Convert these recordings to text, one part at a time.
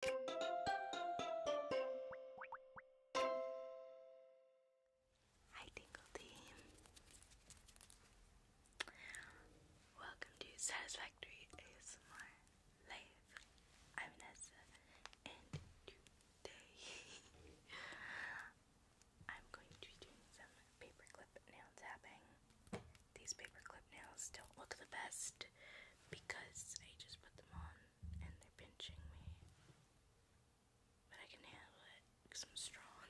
Hi, Tingle Team. Welcome to Satisfactory ASMR Live. I'm Nessa, and today I'm going to be doing some paperclip nail tapping. These paperclip nails don't look the best, because I just put them on and they're pinching me. But I can handle it because I'm strong.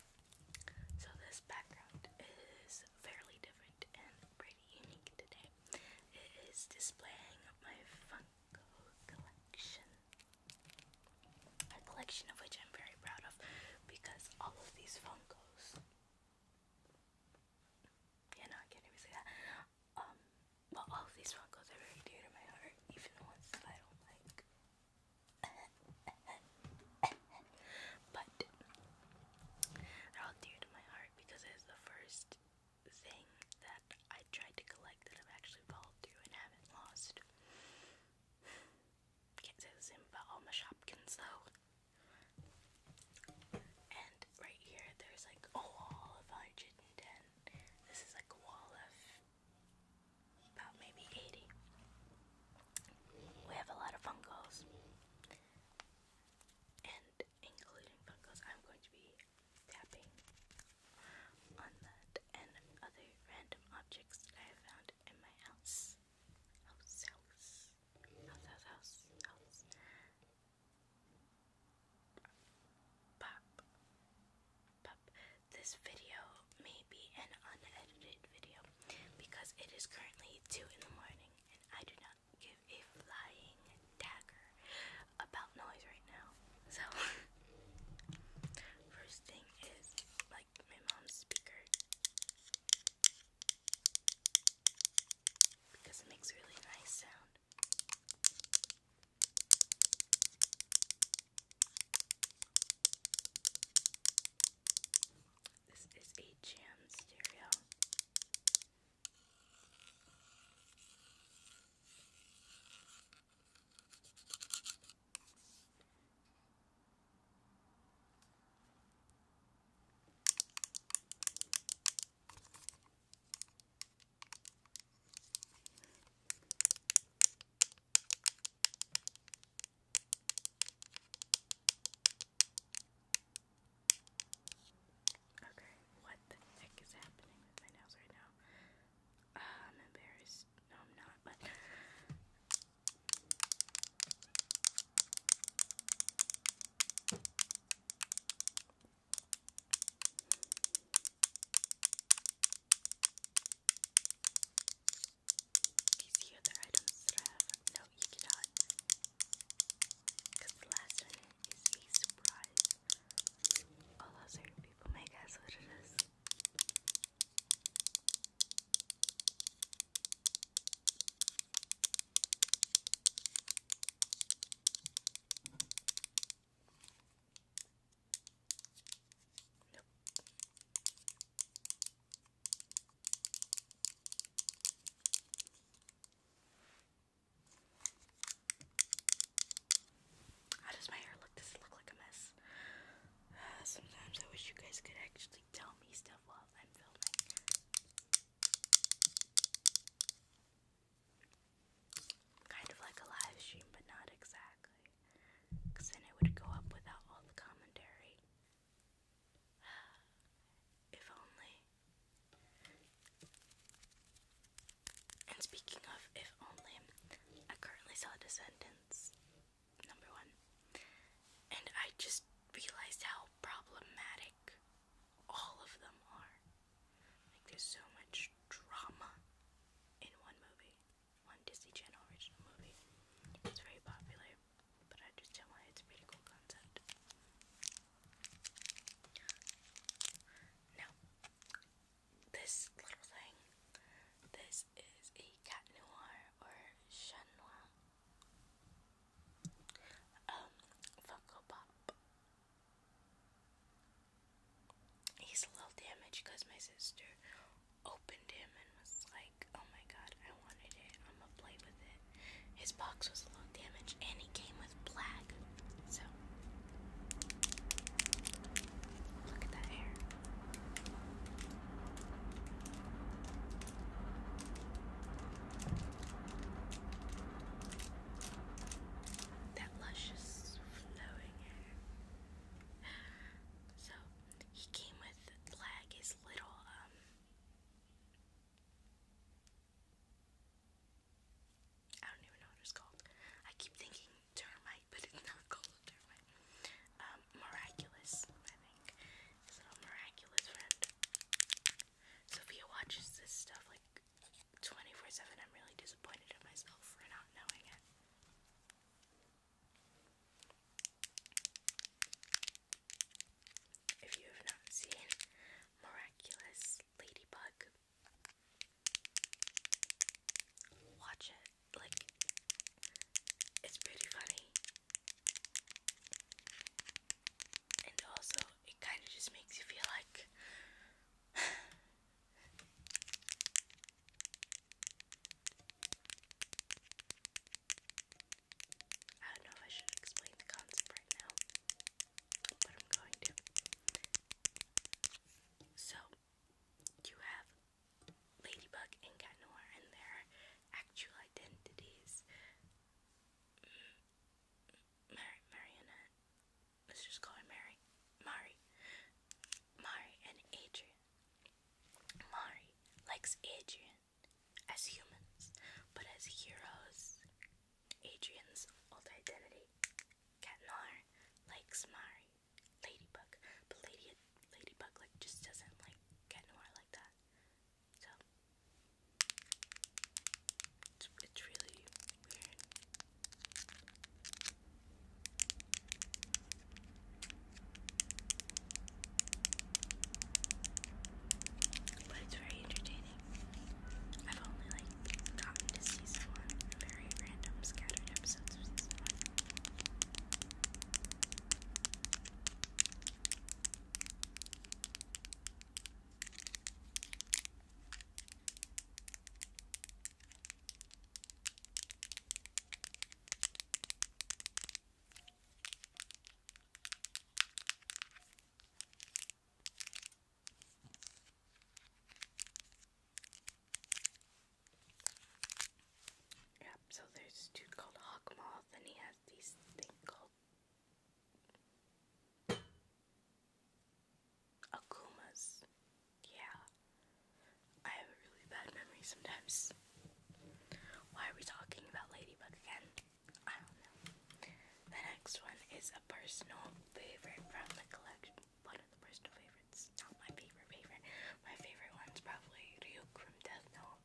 so, this background is fairly different and pretty unique today. It is displaying my Funko collection, a collection of which I'm very proud of because all of these Funkos yeah, no, I can't even say that. Um, but all these rock are very dear to my heart, even the ones that I don't like. but they're all dear to my heart because it's the first thing that I tried to collect that I've actually followed through and haven't lost. Can't say the same about all my Shopkins though. And right here, there's like a wall of 110. This is like a wall of about maybe 80. We have a lot of Funkos. And including Funkos, I'm going to be tapping on that and other random objects that I have found in my house. House, house, house, house, house, house. Pop. Pop. This video may be an unedited video because it is currently 2 in the morning and I do not give a flying dagger about noise right now. So, first thing is like my mom's speaker because it makes really nice sound. This is a jam stereo. Okay, what the heck is happening with my nails right now? Ah, I'm embarrassed. No, I'm not, do you other items have? No, you Because last one is a surprise. Although oh, oh certain people may guess what it is. Nope. How does my hair look? Does it look like a mess? sometimes I wish you guys could actually tell me stuff while I'm filming. Kind of like a live stream, but not exactly. Because then it would go up without all the commentary. if only. And speaking of if only, I currently saw Descendants, number one. And I just realized how problematic all of them are. Like, there's so much drama in one movie, one Disney Channel original movie. It's very popular, but I understand why it's pretty cool concept. Now, this little thing, this is a cat noir or chien um, Funko Pop. He's a little damaged because my sister opened him and was like, oh my god, I wanted it. I'm gonna play with it. His box was a little damaged and he came with black. So, look at that hair that luscious flowing hair. So he came with Blag, his little um I don't even know what it's called. I keep thinking termite, but it's not called termite. Um, miraculous, I think. His little miraculous friend. Sophia watches this stuff like 24 7. I'm really disappointed in myself for not knowing it. If you have not seen Miraculous Ladybug, watch it. Like, it's pretty funny. And also, it kind of just makes you feel like. I don't know if I should explain the concept right now, but I'm going to. So, you have Ladybug and Cat Noir and their actual identities. Mm, Mary, Marionette, let's just call her Mary, Mari, Mari and Adrian. Mari likes Adrian as humans, but as heroes, Adrian's old identity, Cat likes Mari, Ladybug, but Lady, Ladybug like just doesn't like Cat like that it's, it's really weird. But it's very entertaining. I've only like gotten to season one very random scattered episodes of season one. Yep, so there's a dude called Hawkmoth and he has these thing called Akumas. Yeah. I have a really bad memory sometimes. Why are we talking about Ladybug again? I don't know. The next one is a personal favorite from the collection. One of the personal favorites. Not my favorite favorite. My favorite one's probably Ryuk from Death Note,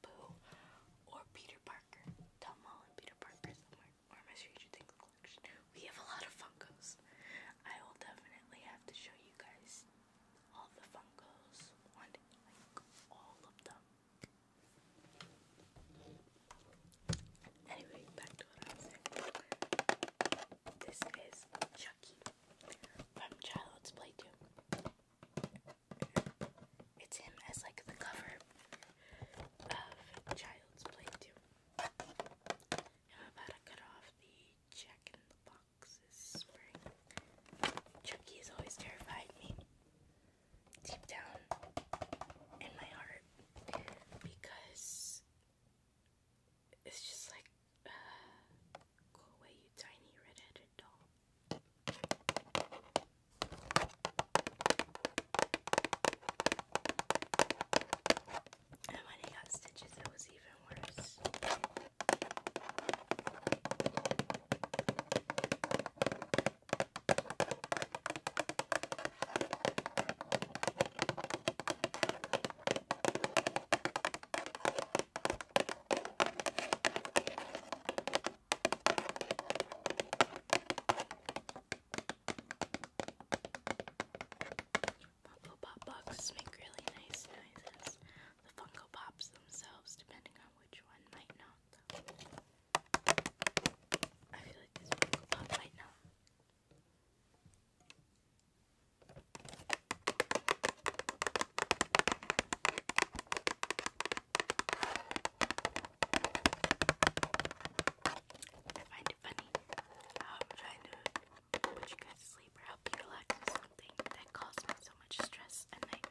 Pooh or Peter Parker. Tom Holland, Peter Parker somewhere. Or my Stranger Things collection. We have a lot of Funkos. I will definitely have to show you guys all the Funkos. One like all of them. Anyway, back to what I was saying. This is Chucky from Child's Play 2. It's him as like the cover of Child's Play 2. I'm about to cut off the Jack in the Box Chucky has always terrified me deep down in my heart because it's just like, uh, go away, you tiny red doll. And when I got stitches, it was even worse. Funko Pop boxes make really nice noises. The Funko Pops themselves, depending on which one, might not. I feel like this Funko Pop might not. I find it funny I'm trying to put you guys to sleep or help you relax something that caused so much stress and nightmares.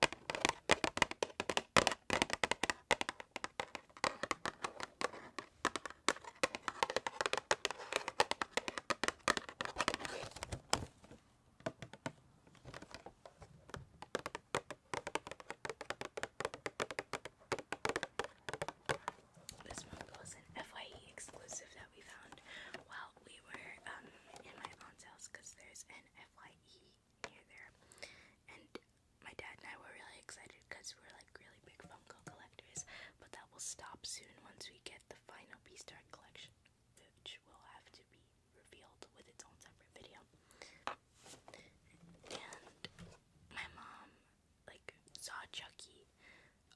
This one was an FYE exclusive that we found while we were um, in my aunt's house because there's an FYE here there. And my dad and I were really excited because we're like really big Funko collectors, but that will stop soon once we get the final Beastart collection, which will have to be revealed with its own separate video. And my mom like saw Chucky,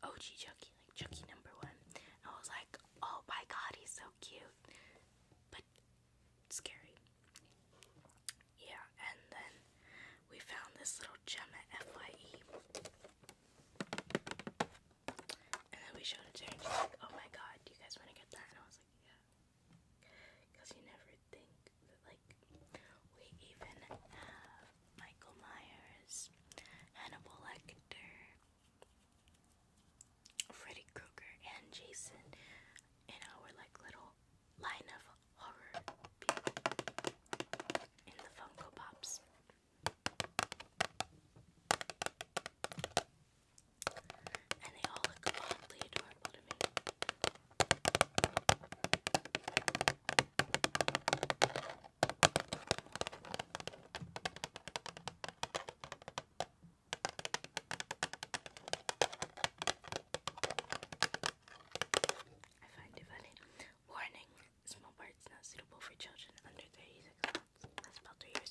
OG Chucky, like Chucky number one, I was like, oh my god, he's so cute. But scary. Yeah, and then we found this little gem FYE. And then we showed it to her she's like, oh my god, you guys want to get that? And I was like, yeah. Because you never think like, we even have Michael Myers, Hannibal Lecter, Freddy Krueger and Jason in our like little line of horror in the Funko Pops. And they all look oddly adorable to me. I find it funny. Warning, small parts not suitable for children under 36 months. That's about two years.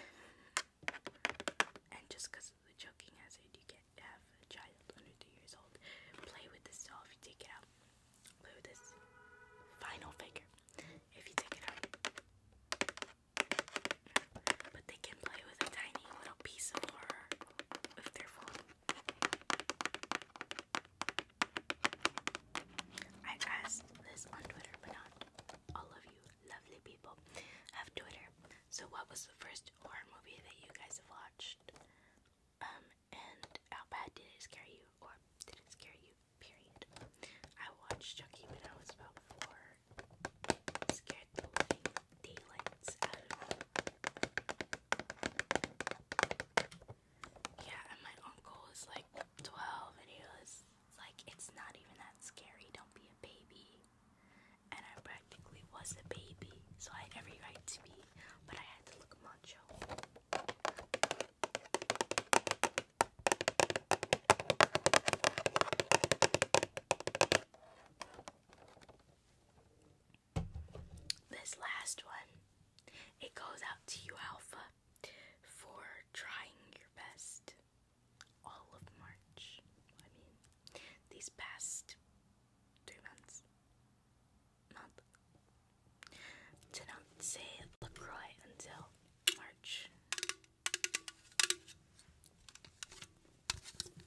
and just because of the choking hazard, you can't have a child under two years old play with this doll if you take it out. Play with this final figure if you take it out. But they can play with a tiny little piece of horror if they're I asked this on Twitter, but not all of you lovely people have Twitter. So, what was the first horror movie that you guys have watched? Um, and how bad did it scare you, or did it scare you? Period. I watched Chuckie when I was about four. Scared the Yeah, and my uncle is like 12 and he was like, it's not even that scary, don't be a baby. And I practically was a baby, so I had every right to be, but I had to look macho. This last one, it goes out to you, Alpha, for trying your best all of March. I mean, these past three months. Month. To not say LaCroix until March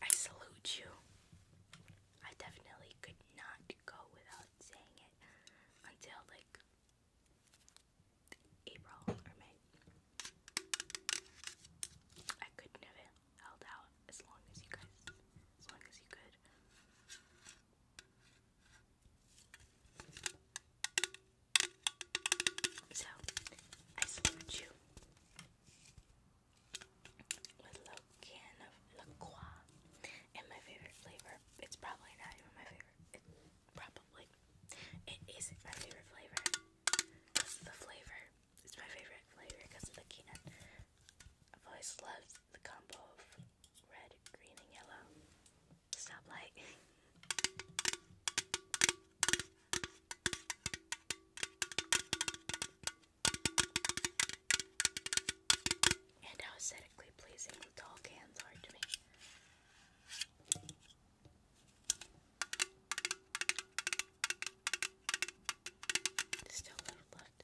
I salute you. I definitely could not go without saying it until like April or May. I couldn't have held out as long as you guys, as long as you could. So, I salute you with a little can of La Croix and my favorite flavor. It's probably not even my favorite. It, probably. It isn't my favorite flavor because of the flavor. It's my favorite flavor because of the can. I've always loved the combo of red, green, and yellow stoplight. and how aesthetically pleasing tall cans are to me. still a little left.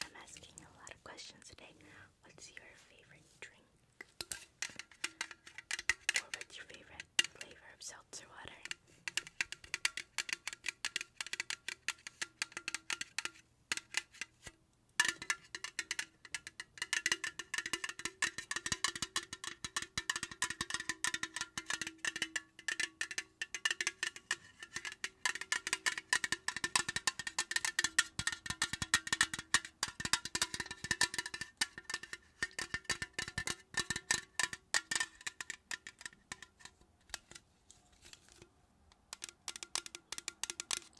I'm asking a lot of questions today. What's your favorite drink? Or what's your favorite flavor of seltzer water?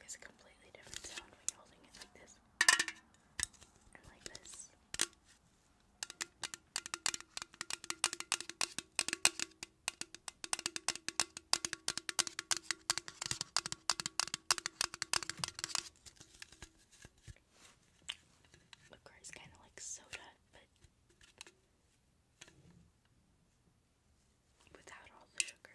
It's a completely different sound when you're holding it like this and like is kind of like soda, but without all the sugar.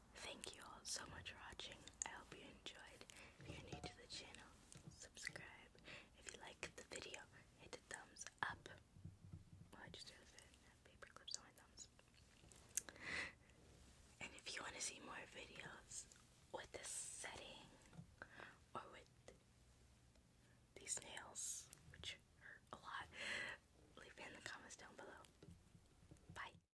Thank you all so much for watching. I hope you enjoyed. If you're new to the channel, subscribe. If you like the video, hit the thumbs up. Well, oh, I just threw the paper clips on my thumbs. And if you want to see more videos with this setting or with these nails, which hurt a lot, leave it in the comments down below. Bye.